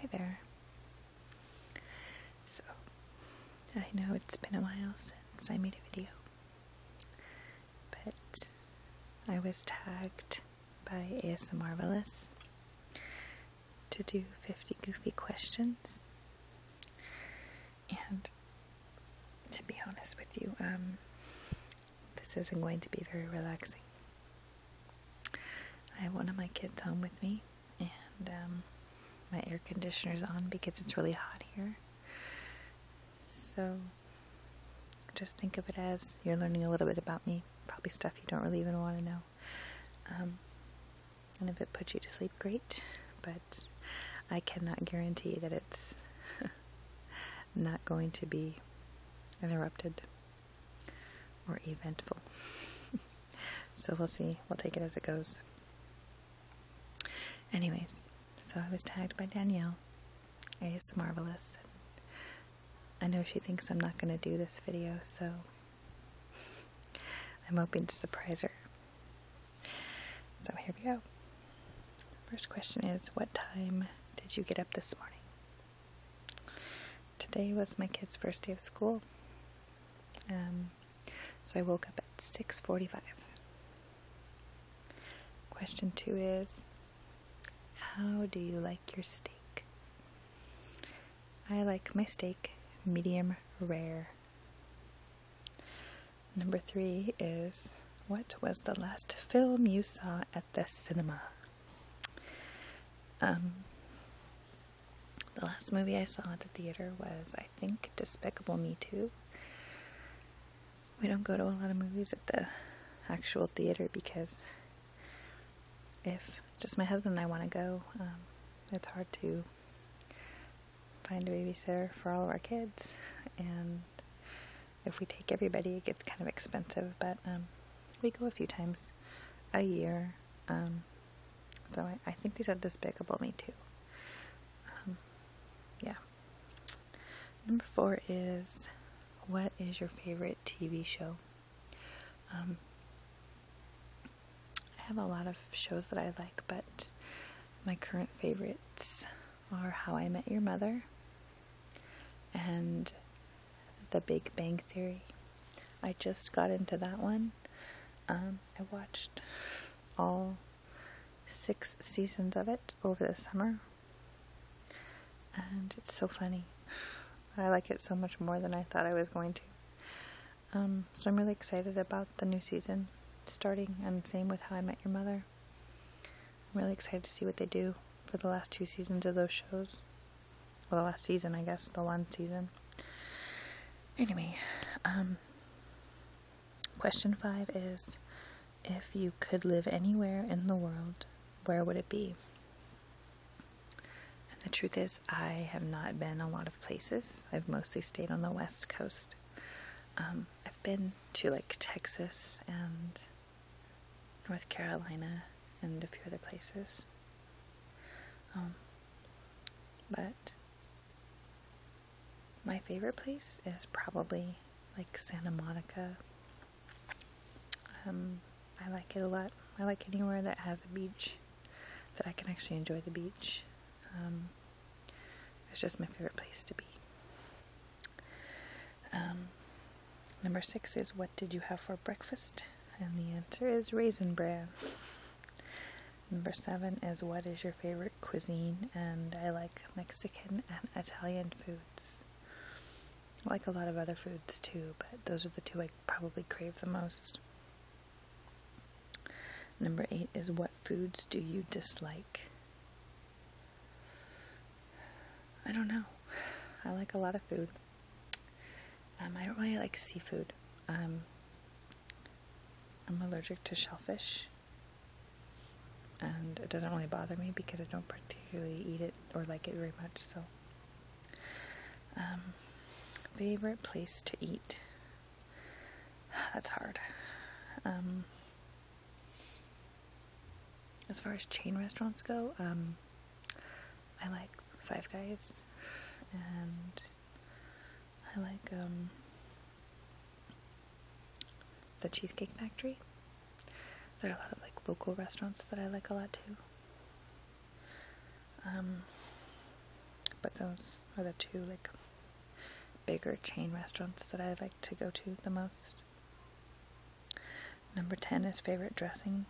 Hi there. So, I know it's been a while since I made a video, but I was tagged by ASMR Marvelous to do 50 goofy questions. And to be honest with you, um, this isn't going to be very relaxing. I have one of my kids home with me, and um, my air conditioner's on because it's really hot here. So just think of it as you're learning a little bit about me, probably stuff you don't really even want to know. Um, and if it puts you to sleep, great, but I cannot guarantee that it's not going to be interrupted or eventful. so we'll see. We'll take it as it goes. Anyways, so I was tagged by Danielle. It's marvelous. I know she thinks I'm not going to do this video, so I'm hoping to surprise her. So here we go. First question is What time did you get up this morning? Today was my kids' first day of school. Um, so I woke up at 6:45. Question 2 is how do you like your steak? I like my steak medium rare. Number 3 is what was the last film you saw at the cinema? Um, the last movie I saw at the theater was, I think, Despicable Me 2. We don't go to a lot of movies at the actual theater because if just my husband and I want to go, um, it's hard to find a babysitter for all of our kids. And if we take everybody, it gets kind of expensive, but um, we go a few times a year. Um, so I, I, think these are despicable me too. Um, yeah. Number four is what is your favorite TV show? I have a lot of shows that I like, but my current favorites are How I Met Your Mother and The Big Bang Theory. I just got into that one. Um, I watched all six seasons of it over the summer, and it's so funny. I like it so much more than I thought I was going to. Um, so I'm really excited about the new season starting, and same with How I Met Your Mother. I'm really excited to see what they do for the last two seasons of those shows. or the last season, I guess, the one season. Anyway, um, question five is if you could live anywhere in the world, where would it be? the truth is, I have not been a lot of places. I've mostly stayed on the West Coast. Um, I've been to like Texas and North Carolina, and a few other places. Um, but my favorite place is probably like Santa Monica. Um, I like it a lot. I like anywhere that has a beach, that I can actually enjoy the beach. Um, it's just my favorite place to be. Um, number six is what did you have for breakfast? And the answer is raisin bran. number seven is what is your favorite cuisine? And I like Mexican and Italian foods. like a lot of other foods too, but those are the two I probably crave the most. Number eight is what foods do you dislike? I don't know. I like a lot of food. Um, I don't really like seafood. Um, I'm allergic to shellfish, and it doesn't really bother me because I don't particularly eat it or like it very much. So, um, favorite place to eat? That's hard. As far as chain restaurants go, um, I like Five Guys, and I like um, the Cheesecake Factory. There are a lot of like local restaurants that I like a lot too. Um, but those are the two like bigger chain restaurants that I like to go to the most. Number 10 is favorite dressing.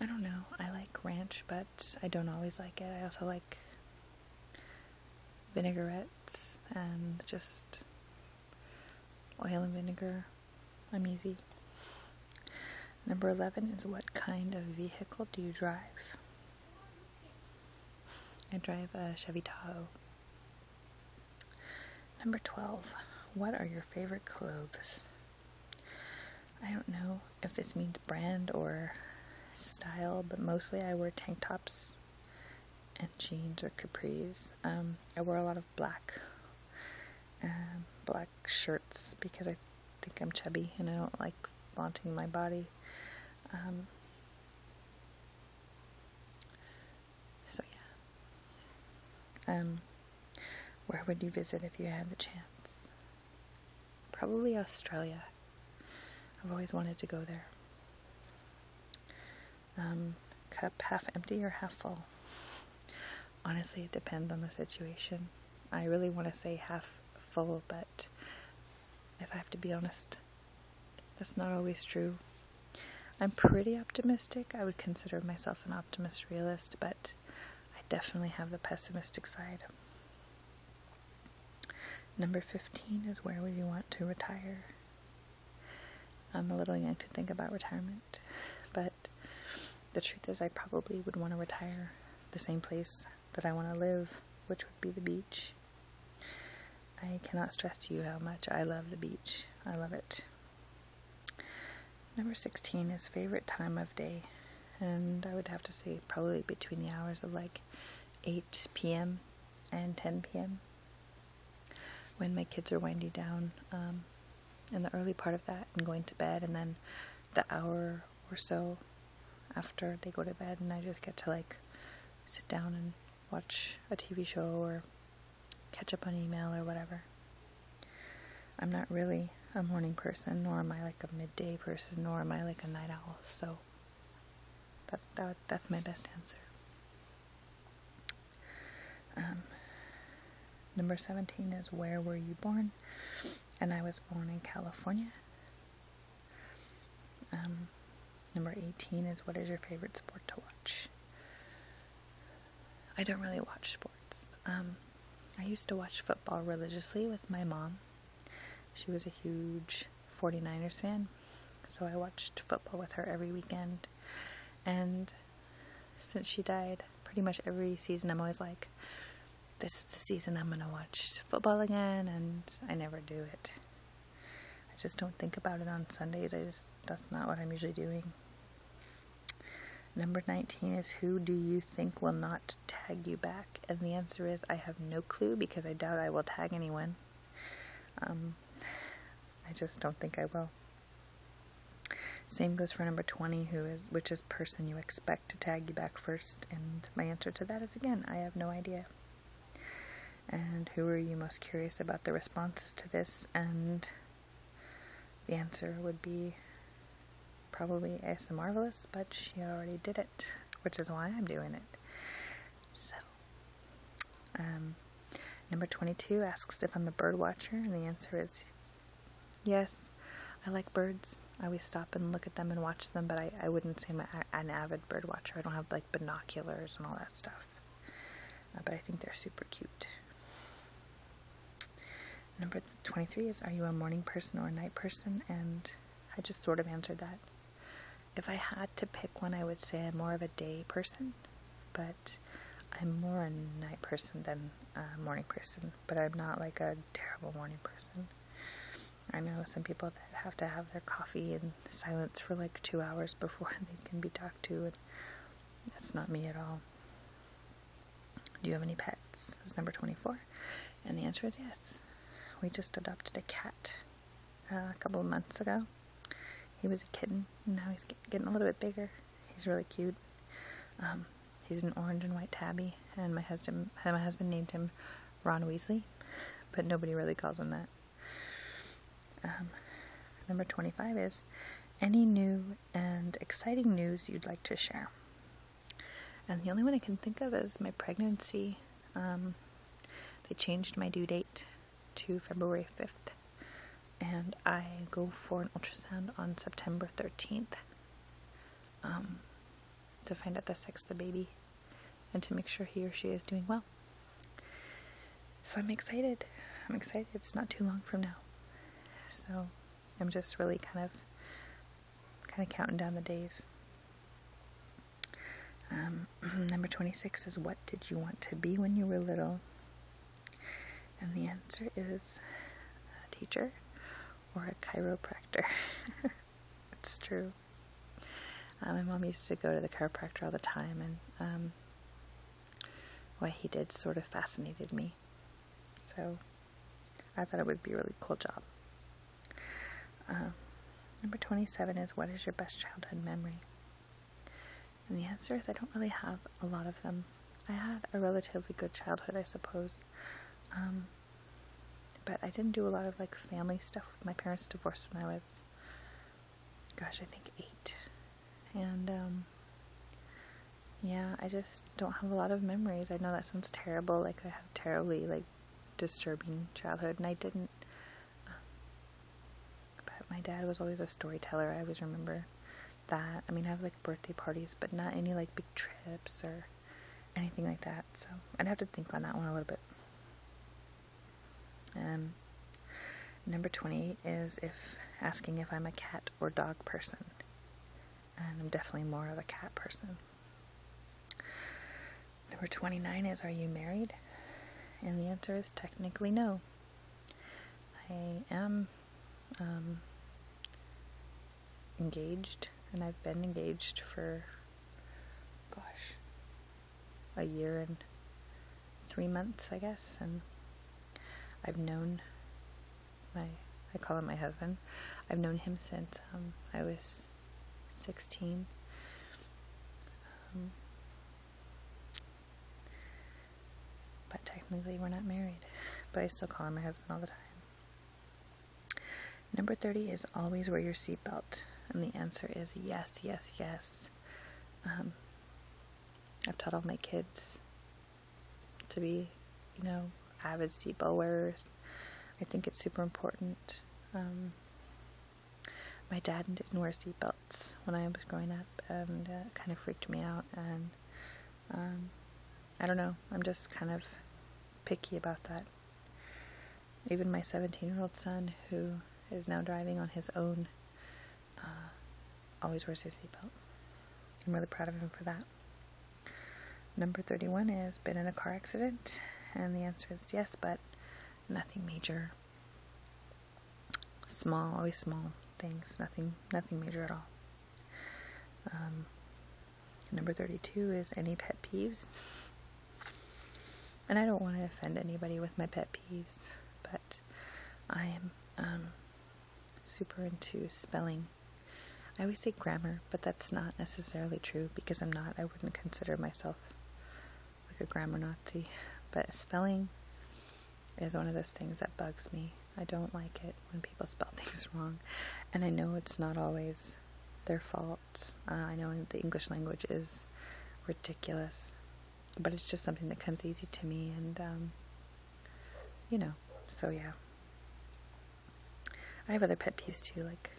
I don't know. I like ranch, but I don't always like it. I also like vinaigrettes and just oil and vinegar. I'm easy. Number 11 is what kind of vehicle do you drive? I drive a Chevy Tahoe. Number 12. What are your favorite clothes? I don't know if this means brand or style, but mostly I wear tank tops and jeans or capris. Um, I wear a lot of black, um, black shirts because I think I'm chubby and I don't like flaunting my body. Um, so yeah. Um where would you visit if you had the chance? Probably Australia. I've always wanted to go there. Um, cup half empty or half full? Honestly, it depends on the situation. I really want to say half full, but if I have to be honest. That's not always true. I'm pretty optimistic. I would consider myself an optimist realist, but I definitely have the pessimistic side. Number 15 is where would you want to retire? I'm a little young to think about retirement, but the truth is, I probably would want to retire the same place that I want to live, which would be the beach. I cannot stress to you how much I love the beach. I love it. Number 16 is favorite time of day. And I would have to say probably between the hours of like 8 p.m. and 10 p.m. when my kids are winding down. Um, in the early part of that and going to bed, and then the hour or so after they go to bed, and I just get to like sit down and watch a TV show or catch up on email or whatever. I'm not really a morning person, nor am I like a midday person, nor am I like a night owl. So that, that that's my best answer. Um, number 17 is Where Were You Born? And I was born in California. Um, number 18 is what is your favorite sport to watch? I don't really watch sports. Um, I used to watch football religiously with my mom. She was a huge 49ers fan, so I watched football with her every weekend. And since she died, pretty much every season I'm always like, this is the season I'm going to watch football again, and I never do it. I just don't think about it on Sundays. I just that's not what I'm usually doing. Number 19 is who do you think will not tag you back? And the answer is I have no clue because I doubt I will tag anyone. Um, I just don't think I will. Same goes for number 20 who is which is person you expect to tag you back first and my answer to that is again, I have no idea. And who are you most curious about the responses to this? And the answer would be probably Asa Marvelous, but she already did it, which is why I'm doing it. So, um, number 22 asks if I'm a bird watcher, and the answer is Yes, I like birds. I always stop and look at them and watch them, but I, I wouldn't say I'm an avid bird watcher. I don't have like binoculars and all that stuff. Uh, but I think they're super cute. Number 23 is Are you a morning person or a night person? And I just sort of answered that. If I had to pick one, I would say I'm more of a day person, but I'm more a night person than a morning person. But I'm not like a terrible morning person. I know some people that have to have their coffee in silence for like two hours before they can be talked to, and that's not me at all. Do you have any pets? It's number 24. And the answer is yes. We just adopted a cat uh, a couple of months ago. He was a kitten, now he's getting a little bit bigger. He's really cute. Um, He's an orange and white tabby, and my husband named him Ron Weasley, but nobody really calls him that. Um, number 25 is any new and exciting news you'd like to share. And the only one I can think of is my pregnancy. Um, they changed my due date to February 5th, and I go for an ultrasound on September 13th um, to find out the sex of the baby and to make sure he or she is doing well. So I'm excited. I'm excited. It's not too long from now. So I'm just really kind of kind of counting down the days. Um, number 26 is what did you want to be when you were little? And the answer is teacher or a chiropractor. it's true. Uh, my mom used to go to the chiropractor all the time, and um, what he did sort of fascinated me. So I thought it would be a really cool job. Uh, number 27 is What is your best childhood memory? And the answer is I don't really have a lot of them. I had a relatively good childhood, I suppose. Um, but I didn't do a lot of like family stuff. My parents divorced when I was, gosh, I think eight. And um, yeah, I just don't have a lot of memories. I know that sounds terrible. Like I have terribly like disturbing childhood, and I didn't. Um, but my dad was always a storyteller. I always remember that. I mean, I have like birthday parties, but not any like big trips or anything like that. So I'd have to think on that one a little bit. Um, number twenty is if asking if I'm a cat or dog person. And I'm definitely more of a cat person. Number 29 is Are you married? And the answer is technically no. I am um, engaged, and I've been engaged for, gosh, a year and three months, I guess, and I've known my, I call him my husband, I've known him since um, I was 16. Um, but technically, we're not married. But I still call him my husband all the time. Number 30 is always wear your seatbelt. And the answer is yes, yes, yes. Um, I've taught all my kids to be, you know, avid seatbelt wearers. I think it's super important. Um, my dad didn't wear seatbelts when I was growing up, and kind of freaked me out. And um, I don't know. I'm just kind of picky about that. Even my 17 year old son, who is now driving on his own, uh, always wears his seatbelt. I'm really proud of him for that. Number 31 has been in a car accident, and the answer is yes, but nothing major. Small, always small things, nothing nothing major at all. Um, number 32 is any pet peeves. And I don't want to offend anybody with my pet peeves, but I am um, super into spelling. I always say grammar, but that's not necessarily true because I'm not, I wouldn't consider myself like a grammar Nazi. But spelling, is one of those things that bugs me. I don't like it when people spell things wrong, and I know it's not always their fault. Uh, I know the English language is ridiculous, but it's just something that comes easy to me, and um, you know, so yeah. I have other pet peeves too, like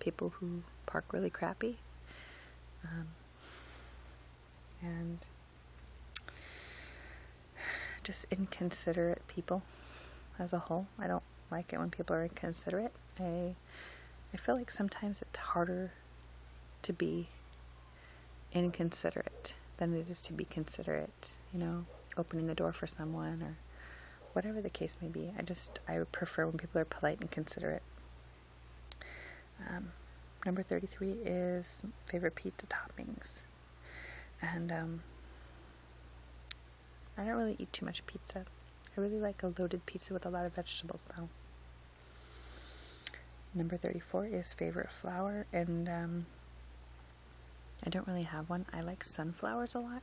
people who park really crappy. Um, and just inconsiderate people as a whole. I don't like it when people are inconsiderate. I I feel like sometimes it's harder to be inconsiderate than it is to be considerate, you know, opening the door for someone or whatever the case may be. I just I prefer when people are polite and considerate. Um, number 33 is favorite pizza toppings. And um, I don't really eat too much pizza. I really like a loaded pizza with a lot of vegetables, though. Number 34 is favorite flower, and um, I don't really have one. I like sunflowers a lot,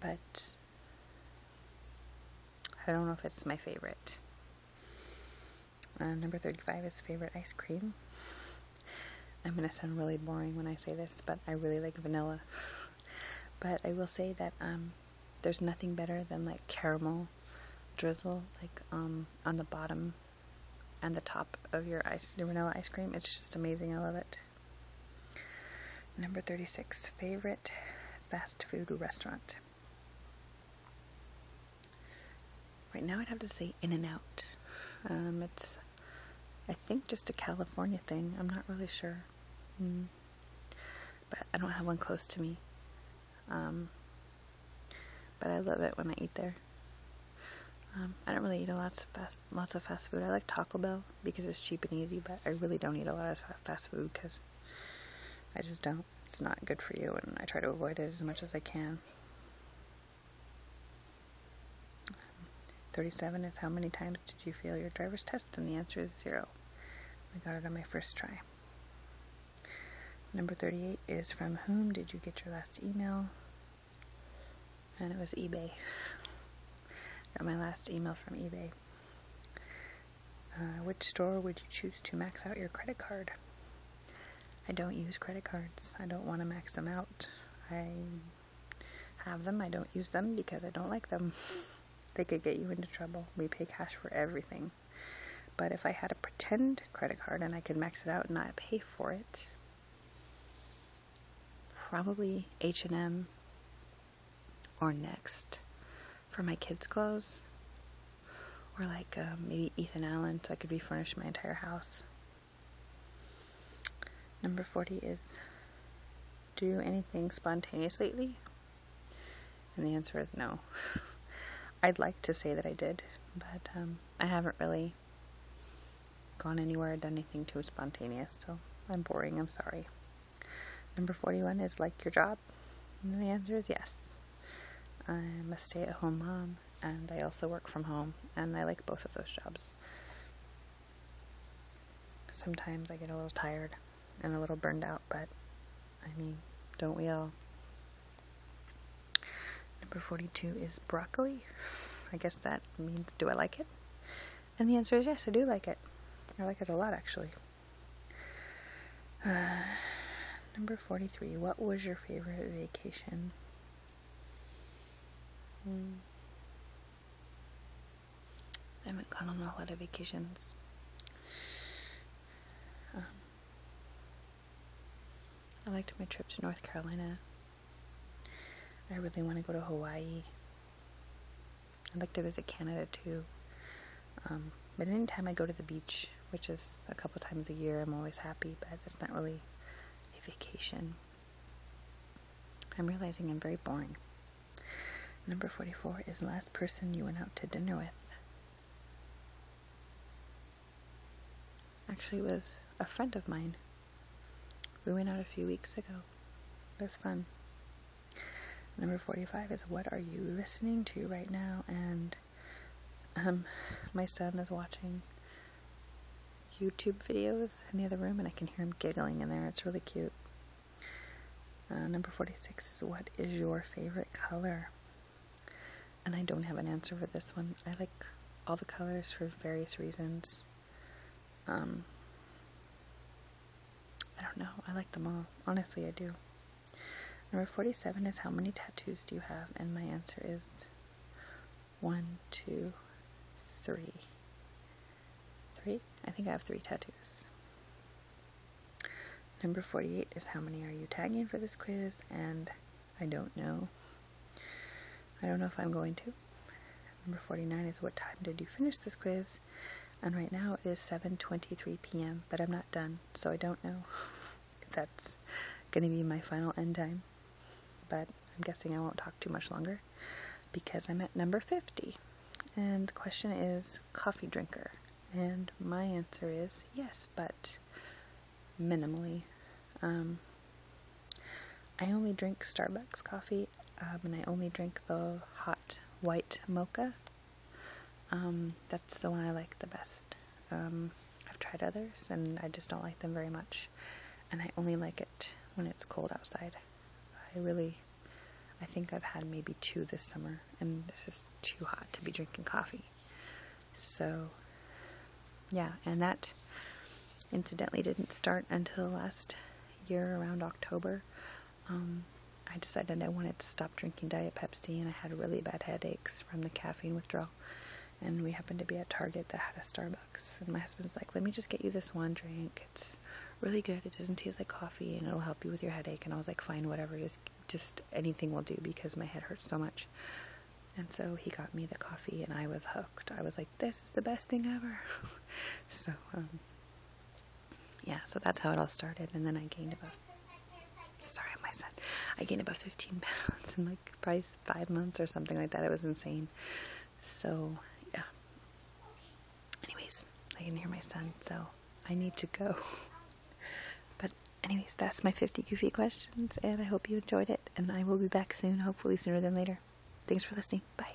but I don't know if it's my favorite. Uh, number 35 is favorite ice cream. I'm going to sound really boring when I say this, but I really like vanilla. but I will say that um, there's nothing better than like caramel drizzle, like um, on the bottom and the top of your vanilla ice cream. It's just amazing. I love it. Number 36, favorite fast food restaurant. Right now, I'd have to say In and Out. Um, it's, I think, just a California thing. I'm not really sure. Hmm. But I don't have one close to me. Um, but I love it when I eat there. Um, I don't really eat a lots of fast lots of fast food. I like Taco Bell because it's cheap and easy, but I really don't eat a lot of fast food because I just don't it's not good for you, and I try to avoid it as much as I can. 37 is how many times did you fail your driver's test? And the answer is zero. I got it on my first try. Number 38 is from whom did you get your last email? And it was eBay. got my last email from eBay. Uh, which store would you choose to max out your credit card? I don't use credit cards. I don't want to max them out. I have them. I don't use them because I don't like them. they could get you into trouble. We pay cash for everything. But if I had a pretend credit card and I could max it out and not pay for it, probably H&M or Next for my kids' clothes, or like um, maybe Ethan Allen, so I could refurnish my entire house. Number 40 is Do anything spontaneous lately? And the answer is no. I'd like to say that I did, but um, I haven't really gone anywhere or done anything too spontaneous, so I'm boring. I'm sorry. Number 41 is like your job the answer is yes. I'm a stay at home mom, and I also work from home, and I like both of those jobs. Sometimes I get a little tired and a little burned out, but I mean, don't we all? Number 42 is broccoli. I guess that means do I like it? And the answer is yes, I do like it. I like it a lot actually. Uh, number 43. What was your favorite vacation? Hmm. I haven't gone on a lot of vacations. Um, I liked my trip to North Carolina. I really want to go to Hawaii. I'd like to visit Canada too. Um, but anytime I go to the beach, which is a couple times a year, I'm always happy, but it's not really a vacation. I'm realizing I'm very boring. Number 44 is the last person you went out to dinner with. Actually, was a friend of mine. We went out a few weeks ago. It was fun. Number 45 is What Are You Listening to Right Now? And um, my son is watching YouTube videos in the other room, and I can hear him giggling in there. It's really cute. Uh, number 46 is What is your favorite color? And I don't have an answer for this one. I like all the colors for various reasons. Um, I don't know. I like them all. Honestly, I do. Number 47 is how many tattoos do you have? And my answer is one, two, three, three. I think I have three tattoos. Number 48 is how many are you tagging for this quiz? And I don't know. I don't know if I'm going to. Number 49 is what time did you finish this quiz? And right now it is 7:23 p.m., but I'm not done, so I don't know if that's going to be my final end time. But I'm guessing I won't talk too much longer because I'm at number 50. And the question is coffee drinker. And my answer is yes, but minimally. Um, I only drink Starbucks coffee um, and I only drink the hot white mocha um, that's the one I like the best. Um, I've tried others and I just don't like them very much. And I only like it when it's cold outside. I really, I think I've had maybe two this summer and it's just too hot to be drinking coffee. So, yeah, and that incidentally didn't start until last year around October. Um, I decided I wanted to stop drinking Diet Pepsi, and I had really bad headaches from the caffeine withdrawal. And we happened to be at Target that had a Starbucks, and my husband was like, "Let me just get you this one drink. It's really good. It doesn't taste like coffee, and it'll help you with your headache." And I was like, "Fine, whatever. Just, just anything will do because my head hurts so much." And so he got me the coffee, and I was hooked. I was like, "This is the best thing ever." so um, yeah, so that's how it all started. And then I gained about, sorry, my son, I gained about 15 pounds in like probably five months or something like that. It was insane. So, yeah. Anyways, I can hear my son, so I need to go. but, anyways, that's my 50 goofy questions, and I hope you enjoyed it. And I will be back soon, hopefully sooner than later. Thanks for listening. Bye.